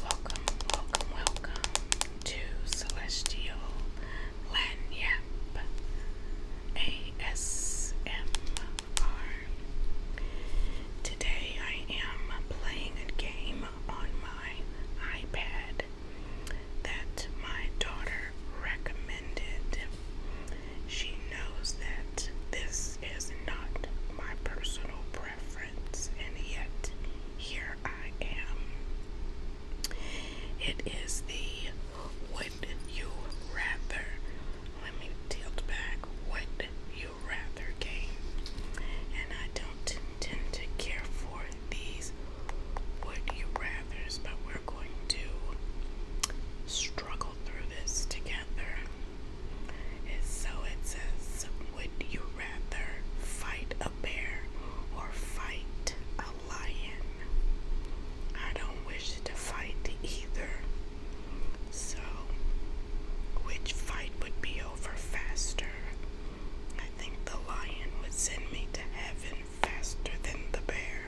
Welcome, welcome, welcome to Celestial Lanyap ASMR. Today I am playing a game on my iPad that my daughter recommended she knows that this is not my personal preference, and yet here I am. It is the would you rather. Let me tilt back. Would you rather game. And I don't tend to care for these would you rathers, but we're going to struggle through this together. so it says, Would you rather fight a bear or fight a lion? I don't wish to fight either. So, which fight would be over faster? I think the lion would send me to heaven faster than the bear.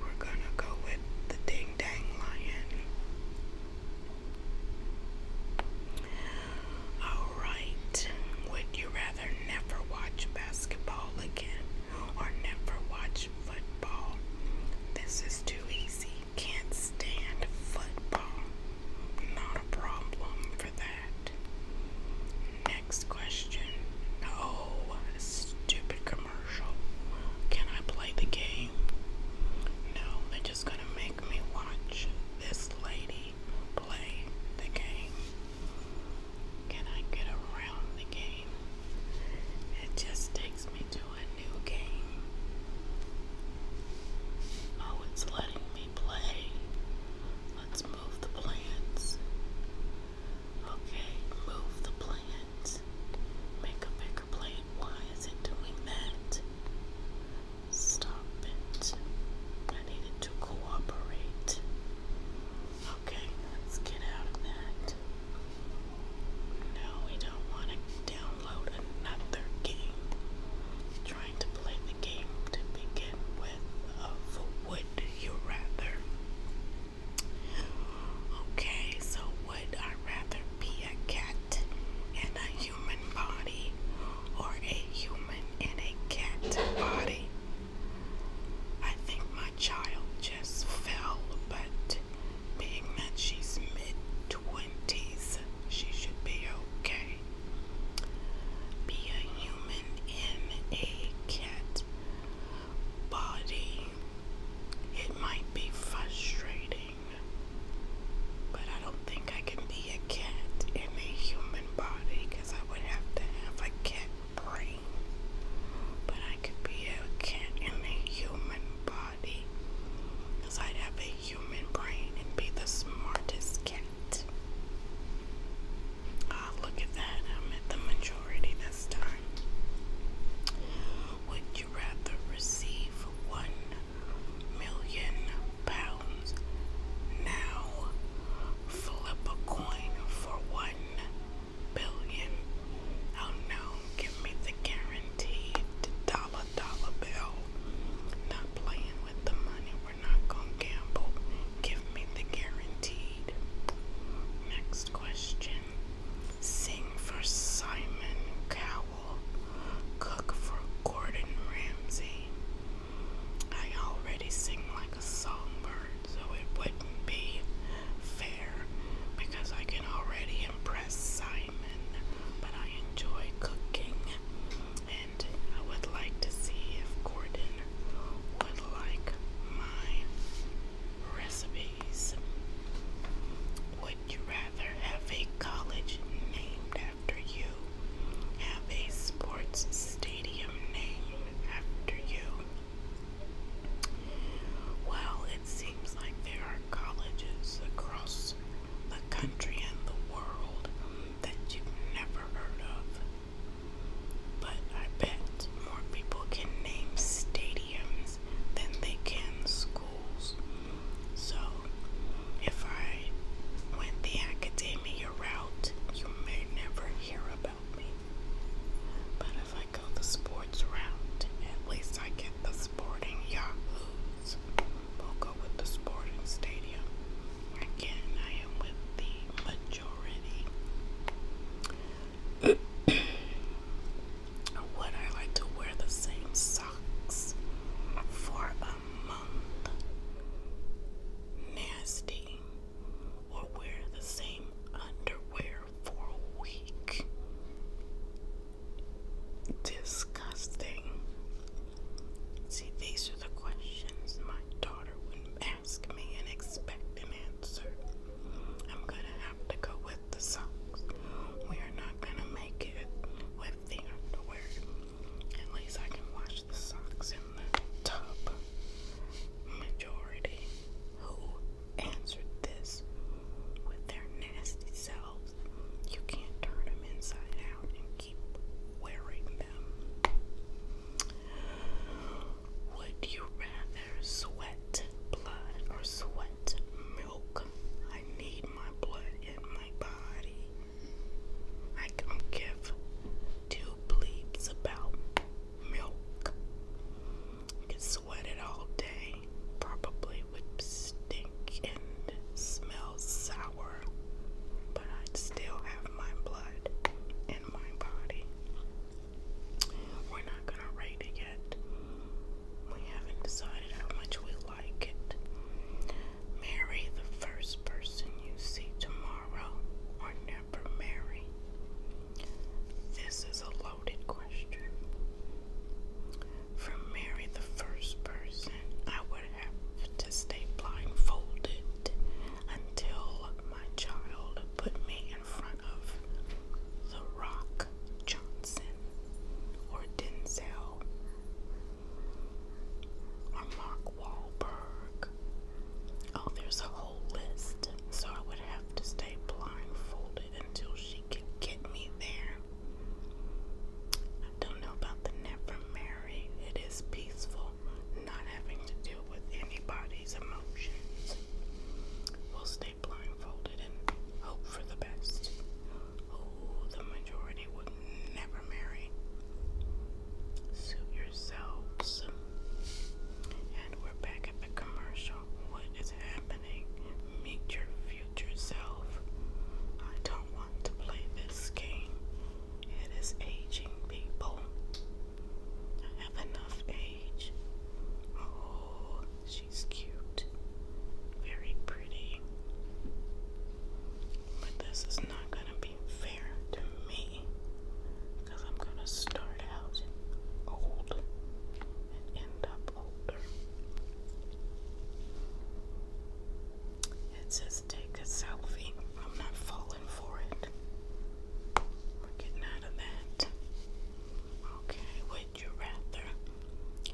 We're gonna go with the Ding Dang Lion. Alright, would you rather never watch basketball again or never watch football? This is too easy. Can't stand football. Not a problem for that. Next question. Oh, stupid commercial. Can I play the game? No, they're just gonna make me watch this lady play the game. Can I get around the game? It just takes me to a new game. Oh, it's letting me play. Let's move the plants. Okay, move the plant. Make a bigger plant. Why is it doing that? Stop it. I need it to cooperate. Okay, let's get out of that. No, we don't want to download another game. trying to play the game to begin with of would you rather. Okay, so would I rather be a cat in a human body or a human in a cat body? I think my child just fell, but being that she's mid 20s, she should be okay. Be a human in a cat body. It might be frustrating, but I don't think I can be a cat in a human body because I would have to have a cat brain. But I could be a cat in a human body because I'd have a human brain and be the smartest cat. Ah, look at that. I'm at the majority would you rather receive one million pounds now? Flip a coin for one billion. Oh no, give me the guaranteed dollar dollar bill. Not playing with the money, we're not gonna gamble. Give me the guaranteed. Next question sing for Simon Cowell, cook for Gordon Ramsay. I already sing like a songbird, so it wouldn't be fair because I can already impress Simon, but I enjoy cooking and I would like to see if Gordon would like my recipe please? Would you rather have a college named after you, have a sports stadium named after you? Well, it seems like there are colleges across the country and the world that you've never heard of. But I bet more people can name stadium families than they can schools. So, if I went the academia route, you may never hear about me. But if I go the sports route, at least I get the sporting yahoos. We'll go with the sporting stadium. Again, I am with the majority. Would I like to wear the same socks for a month? Nasty. Or wear the same underwear for a week? Disgusting. See, these are the questions my daughter would ask me and expect an answer. I'm gonna have to go with the socks. We are not gonna make it with the underwear. At least I can wash the socks in the tub. Majority who answered this with their nasty selves. You can't turn them inside out and keep wearing them. Would you rather sweat? blood, or sweat milk. I need my blood in my body. I don't give two bleeps about milk. I could sweat it all day. Probably would stink and smell sour. But I'd still have my blood in my body. We're not gonna rate it yet. We haven't decided how much we like it. Marry the first person you see tomorrow or never marry. This is a loaded question. From marry the first person, I would have to stay blindfolded until my child put me in front of the rock. Johnson or Denzel or Mark Wahlberg. Oh, there's a whole list, so I would have to stay blindfolded until she could get me there. I don't know about the never marry. It is peaceful, not having to deal with anybody's emotions. We'll blindfolded and hope for the best. Oh, the majority would never marry. Suit yourselves. And we're back at the commercial. What is happening? Meet your future self. I don't want to play this game. It is aging people. I have enough age. Oh, she's cute, very pretty. But this is not going to be fair to me because I'm going to start out old and end up older. It says take a selfie. I'm not falling for it. We're getting out of that. Okay, what would you rather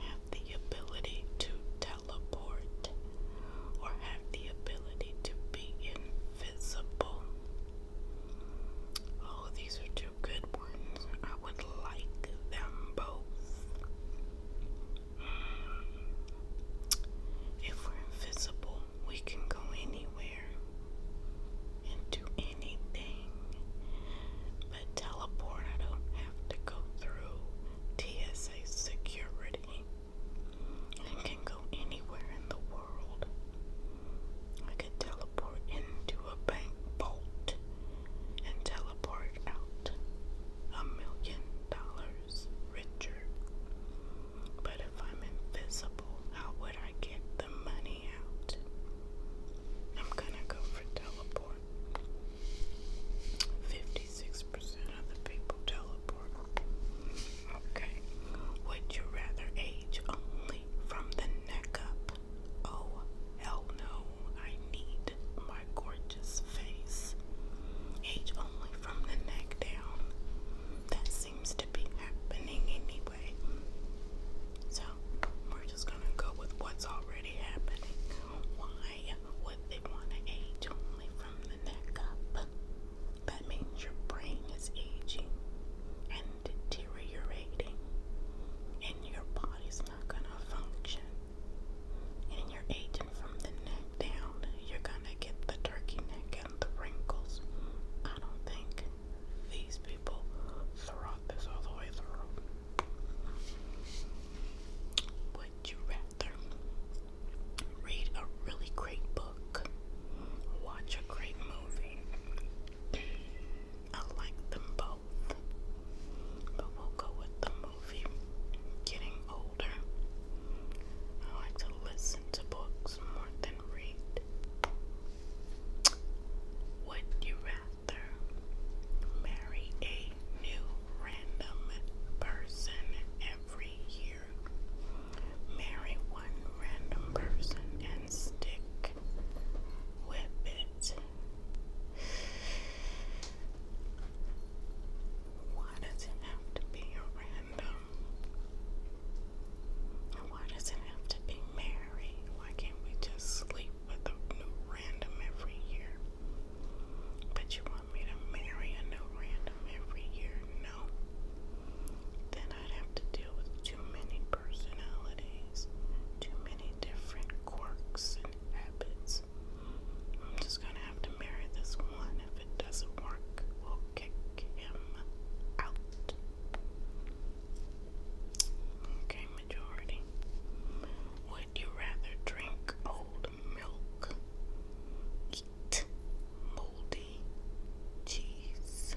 have the ability to teleport or have the ability to be invisible? Oh, these are two good ones. I would like them both. If we're invisible, we can go anywhere and do anything teleport. I don't have to go through TSA security. I can go anywhere in the world. I could teleport into a bank vault and teleport out a million dollars richer. But if I'm invisible, how would I get the money out? I'm gonna go for teleport. 56% of the people teleport. Okay. Would you rather age only from the neck up? Oh, hell no. I need my gorgeous face. Age only from the neck down. That seems to be happening anyway. So, we're just gonna go with what's already happening. Why would they want to age only from the neck up? That means your brain is aging and deteriorating, and your body's not going to function. And you're aging from the neck down, you're going to get the turkey neck and the wrinkles. I don't think these people thought this all the way through. Would you rather read a really great book, watch a great movie? I like them both, but we'll go with the movie. Getting older, I like to listen to books more than read. Would you rather? marry a new random person every year. Marry one random person and stick with it. Why does it have to be a random? why does it have to be married? Why can't we just sleep with a new random every year? But you want me to marry a new random every year? No. Then I'd have to deal with too many personalities, too many different quirks and habits. I'm just gonna have to marry this one. If it doesn't work, we'll kick him out. Okay, majority. Would you rather drink old milk, eat moldy cheese?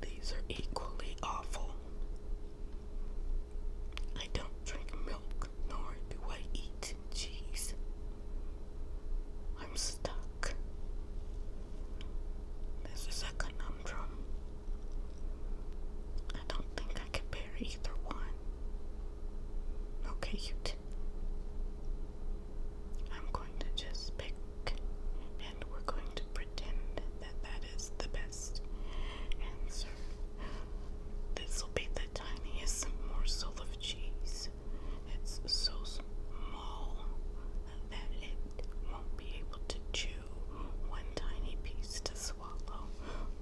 These are equally awful. I don't drink milk, nor do I eat cheese. I'm stuck. This is a conundrum. I don't think I can bear either one. Okay, you two. I'm going to just pick, and we're going to pretend that that is the best answer. This will be the tiniest morsel of cheese. It's so small that it won't be able to chew one tiny piece swallow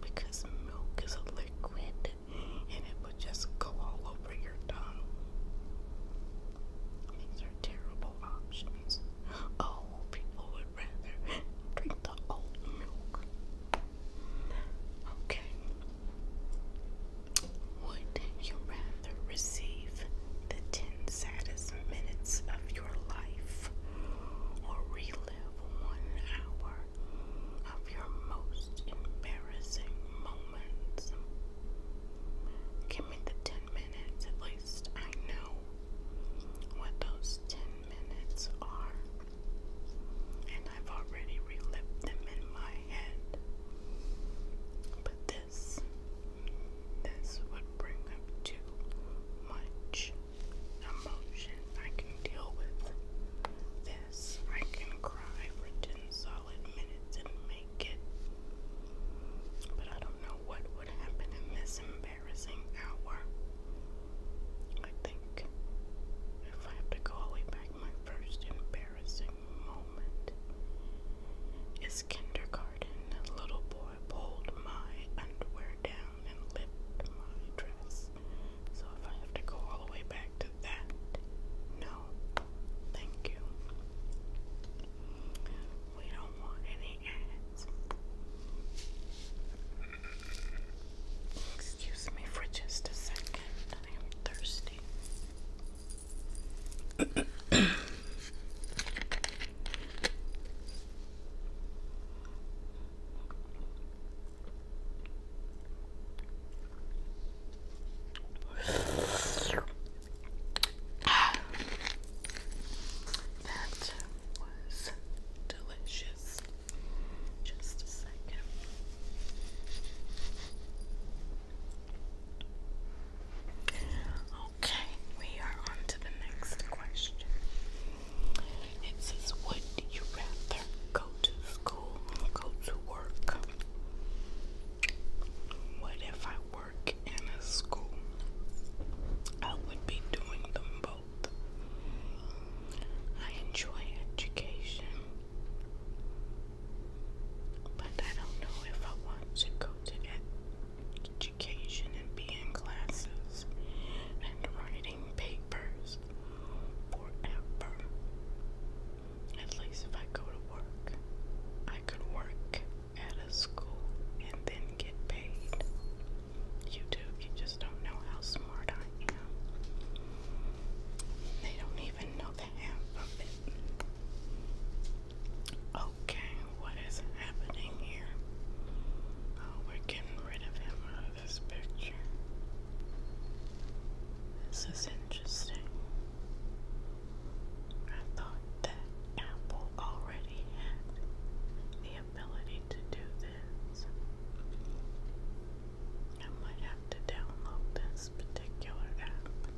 because milk is a liquid and it would just go all over your tongue. These are terrible options. Oh, people would rather drink the old milk. Okay. Would you rather receive the 10 saddest minutes of your life or relive one hour of your most embarrassing moments. Give me the 10 minutes, at least I know what those 10 minutes are. And I've already relived them in my head. But this, this would bring up too much emotion I can deal with. This I can cry for 10 solid minutes and make it. But I don't know what would happen in this embarrassing hour. I think if I have to go all the way back, my first embarrassing moment is kindergarten. A little boy pulled my underwear down. So if I have to go all the way back to that, no, thank you. We don't want any ads. Excuse me for just a second. I am thirsty. That was delicious. Just a second. Okay, we are on to the next question. It says, Would you rather go to school go to work? What if I work in a school? I would be doing them both. I enjoy education, but I don't know if I want to go to education and be in classes and writing papers forever. At least if I go to work, I could work at a school and then get paid. You do, you just don't know how smart I am. They don't even know the half of it. Okay, what is it? happening here? Oh, we're getting rid of him out of this picture. This is interesting. I thought that Apple already had the ability to do this. I might have to download this particular app.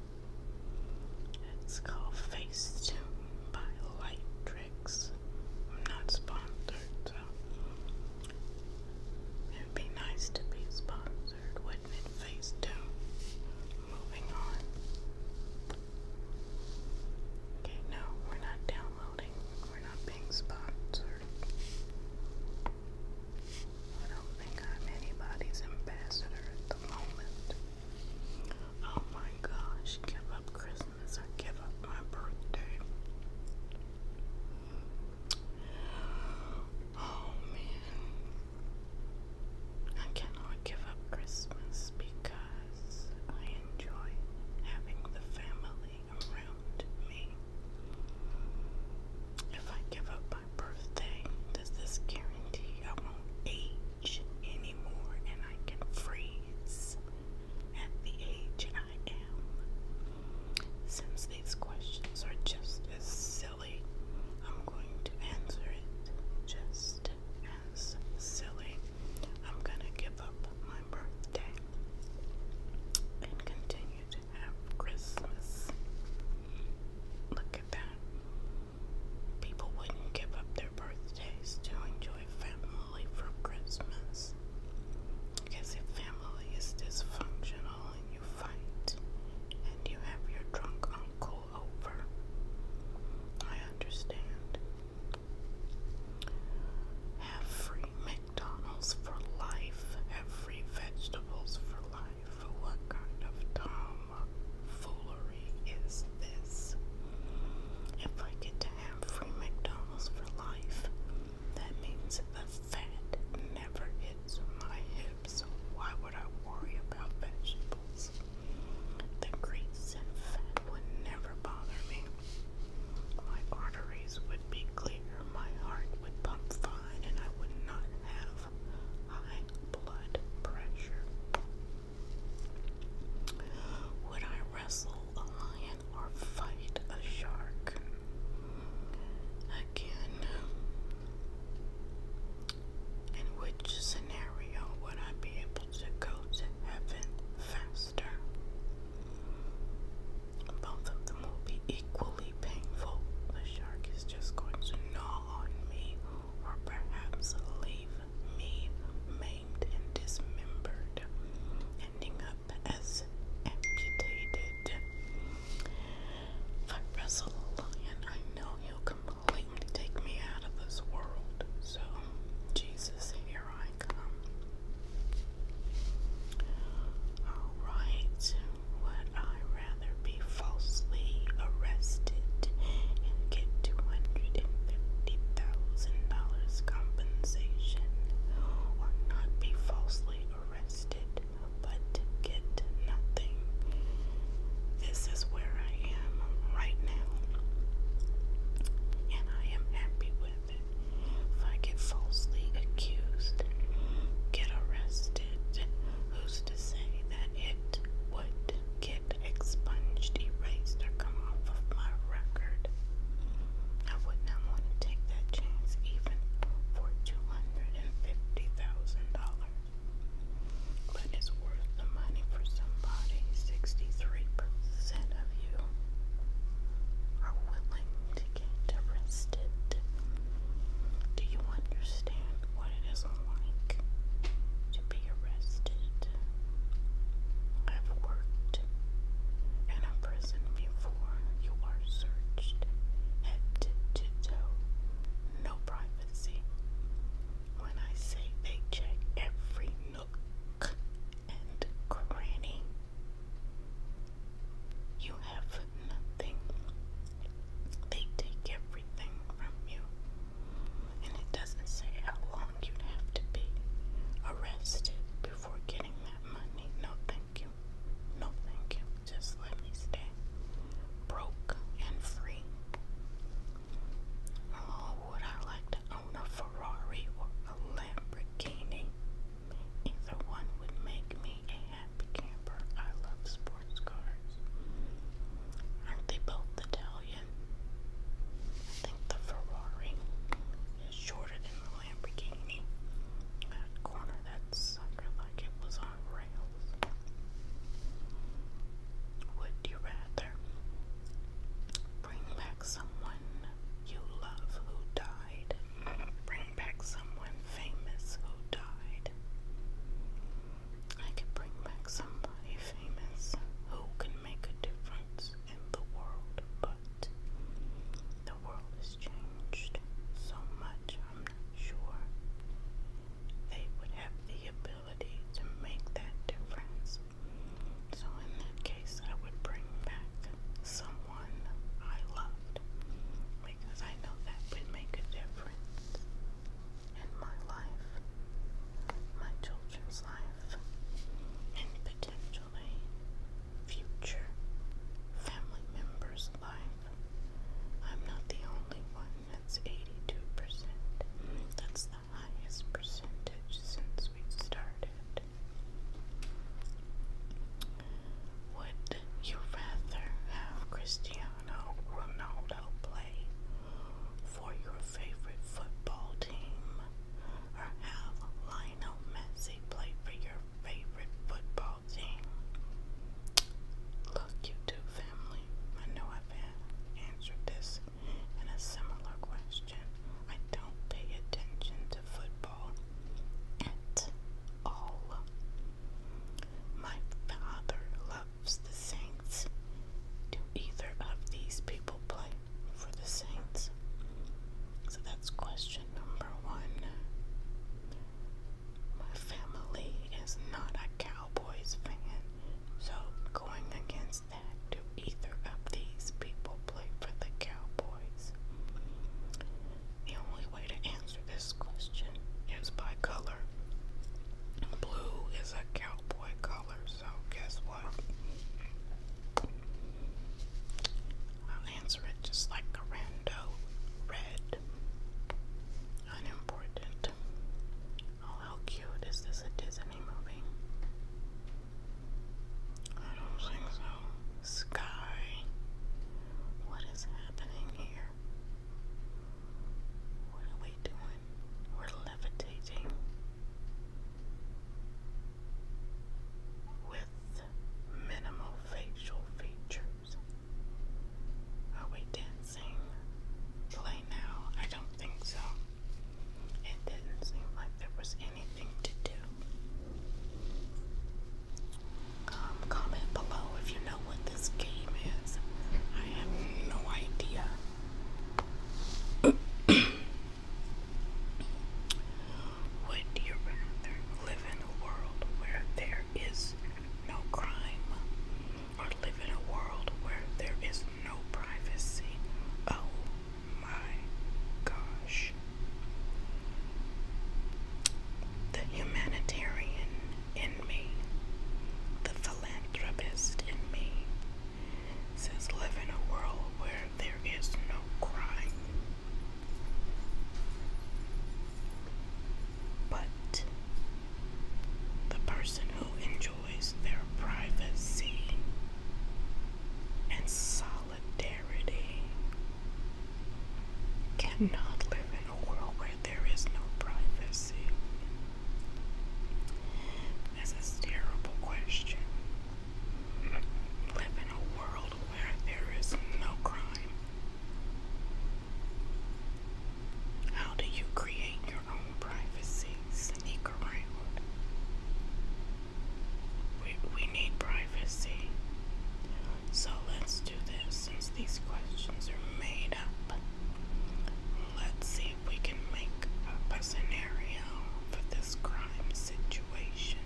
It's called Facetune by Light I'm not sponsored, it'd be nice to be sponsored, wouldn't it? Phase Moving on. Okay, no, we're not downloading. We're not being sponsored. I don't think I'm anybody's ambassador at the moment. Oh my gosh, give up Christmas. Christmas. I give up my birthday. Oh man. I cannot give up Christmas because I enjoy having the family around me. If I give up my birthday, does this guarantee I won't age anymore and I can freeze at the age I am. Since these questions are just as silly, I'm going to answer it just as silly. I'm going to give up my birthday and continue to have Christmas. Look at that. People wouldn't give up their birthdays to enjoy a family for Christmas. Because if family is dysfunctional and you fight and you have your drunk uncle over, I understand. Have free McDonald's for life, have free vegetables for life. What kind of dumb foolery is this? If I could to have free McDonald's for life. That means the fat never hits my hips. Why would I worry about vegetables? The grease and fat would never bother me. My arteries would be clear, my heart would pump fine, and I would not have high blood pressure. Would I wrestle a lion? or fight a shark. Again, in which scenario would I be able to go to heaven faster? Both of them will be equally painful. The shark is just going to gnaw on me or perhaps leave me maimed and dismembered, ending up as amputated. If I wrestle a lion, I know he'll completely take me out of this world. So, Jesus, here I come. Alright, would I rather be falsely arrested and get $250,000 compensation, or not be falsely arrested, but get nothing. This is where I am right now, and I am happy with it. If I get falsely accused, get arrested, who's to say that it would get expunged, erased, or come off of my record? I would not want to take that chance even for $250,000. But it's worth the money for somebody. 63% of you are willing to get arrested. Do you understand what it is like to be arrested? I've worked in a prison before before you are searched head to toe. No privacy. When I say they check every nook and cranny, you have nothing. They take everything from you. And it doesn't say how long you'd have to be arrested for getting that money. No, thank you. No, thank you. Just let me stay broke and free. Oh, would I like to own a Ferrari or a Lamborghini? Either one would make me a happy camper. I love sports cars. Aren't they both Italian? I think the Ferrari is shorter than the Lamborghini. That corner, that sucker, like it was on rails. Would you rather bring back someone you love who died? Bring back someone famous who died? I could bring back somebody famous who can make a difference in the world, but the world has changed so much, I'm not sure they would have the ability to make that difference. So, in that case, I would bring back someone I loved because I know that would make a difference in my life, my children's life, and potentially future family member's life. I'm not the only one. That's 82%. That's the highest percentage since we started. Would you rather have Cristiano Ronaldo play for your favorite football team or have Lionel Messi play for your favorite football team? Look, YouTube family, I know I've answered this in a similar question. I don't pay attention to football at all. My father loves the Saints. Do either of these people play for the Saints? So that's question number one. My family is not a Cowboys fan, so going against that, do either of these people play for the Cowboys? The only way to answer this question is by color. Blue is a cowboy color, so guess what? answer it just like a rando red. Unimportant. Oh, how cute is this a Disney movie? I don't think so. Sky. What is happening here? What are we doing? We're levitating with minimal facial features. Are we dancing? Play now? I don't think so. It didn't seem like there was anything to do. Um, comment below if you know what this game is. I have no idea. Would you rather live in a world where there is no crime or live in a world where there is no privacy? Oh my gosh. The humanitarian in me, the philanthropist in me, says live in a world where there is no crime. But the person who enjoys their privacy and solidarity cannot live in a world where there is no privacy. This a terrible question. Live in a world where there is no crime. How do you create your own privacy? Sneak We, we need privacy. So let's do this since these questions are made up. Let's see if we can make a scenario for this crime situation.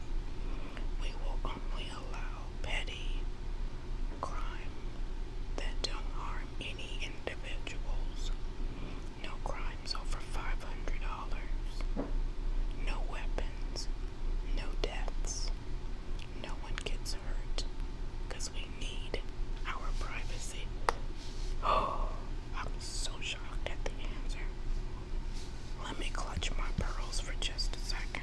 We will only allow petty crime that don't harm any individuals. No crimes over $500. No weapons. No deaths. No one gets hurt. Because we need our privacy. Oh, I'm so shocked at the answer. Let me clutch my pearls for just a second.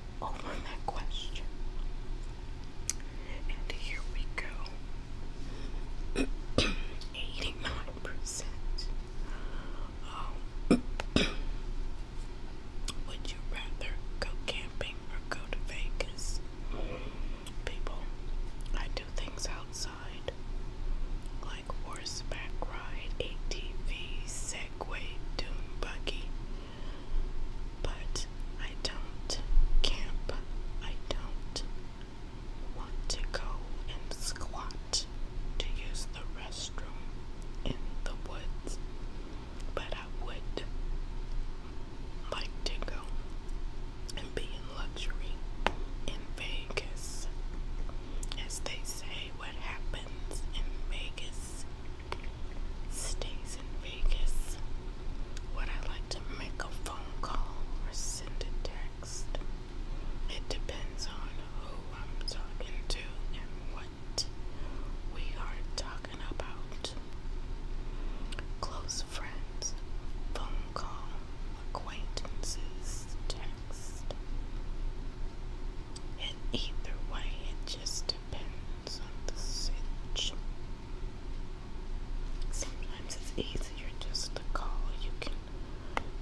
over that question. And here we go. 89%. Um, would you rather go camping or go to Vegas? People, I do things outside like horseback ride, ATV, Segway, dune buggy, but I don't camp. I don't want to go and squat to use the restroom in the woods. But I would like to go and be in luxury in Vegas. As they say, what happens in Vegas stays in Vegas, would I like to make a phone call or send a text? It depends on who I'm talking to and what we are talking about. Close friends, phone call, acquaintances, text. And either way, it just depends. Sometimes it's easier just to call. You can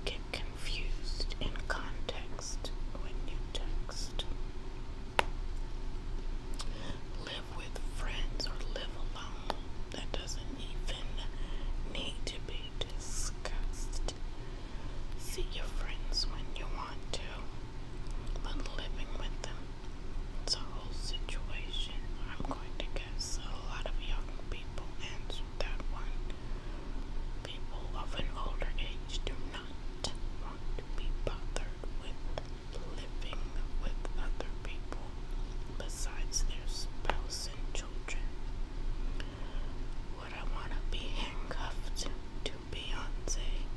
get confused in context when you text. Live with friends or live alone. That doesn't even need to be discussed. See your friends when you want to but living with them. It's a whole situation. I'm going to guess a lot of young people and that one. People of an older age do not want to be bothered with living with other people besides their spouse and children. Would I want to be handcuffed to Beyonce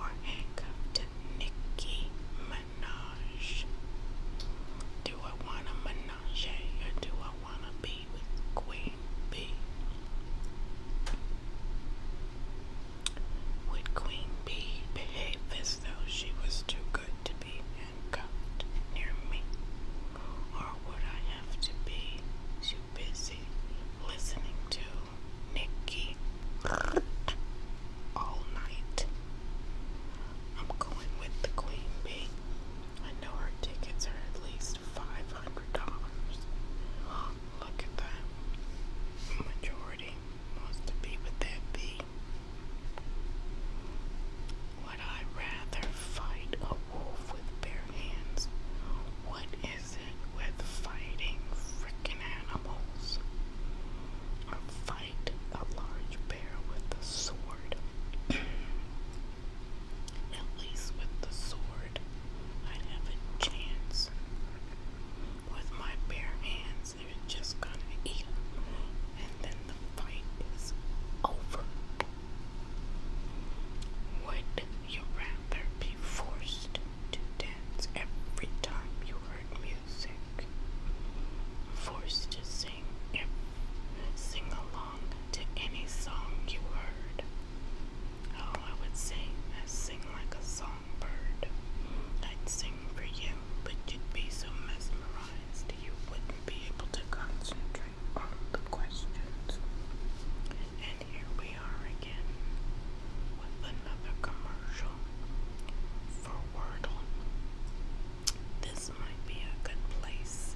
or handcuffed to Nicki Minaj? Do I want a menage or do I want to be with Queen B? Would Queen B behave as though she was too good to be handcuffed near me? Or would I have to be too busy listening to Nikki all night. I'm going with the Queen Bee. I know her tickets are at least five hundred dollars. Look at that. Majority wants to be with that bee. Would I rather fight a wolf with bare hands? What with fighting fricking animals? Or fight a large bear with a sword? At least with the sword, i have a chance. With my bare hands, they're just gonna eat them, and then the fight is over. Would you rather be forced to dance every time you heard music, forced to sing sing along to any song you heard. Oh, I would sing, I'd sing like a songbird. I'd sing for you, but you'd be so mesmerized you wouldn't be able to concentrate on the questions. And here we we are again with another commercial for Wordle. This might be a good place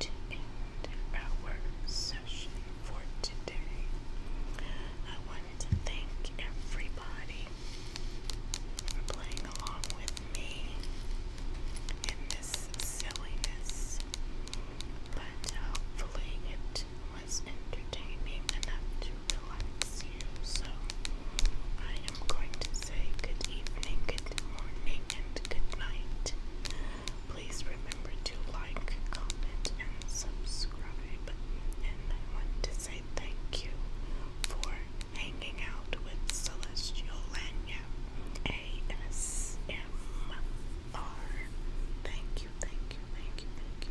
to end our session for today. I wanted to thank everybody for playing along with me in this silliness, but hopefully it was entertaining enough to relax you. So I am going to say good evening, good morning, and good night. Please remember to like, comment, and subscribe. And I want to say thank you for hanging out with Celestial ASMR. Thank you, thank you, thank you, thank you.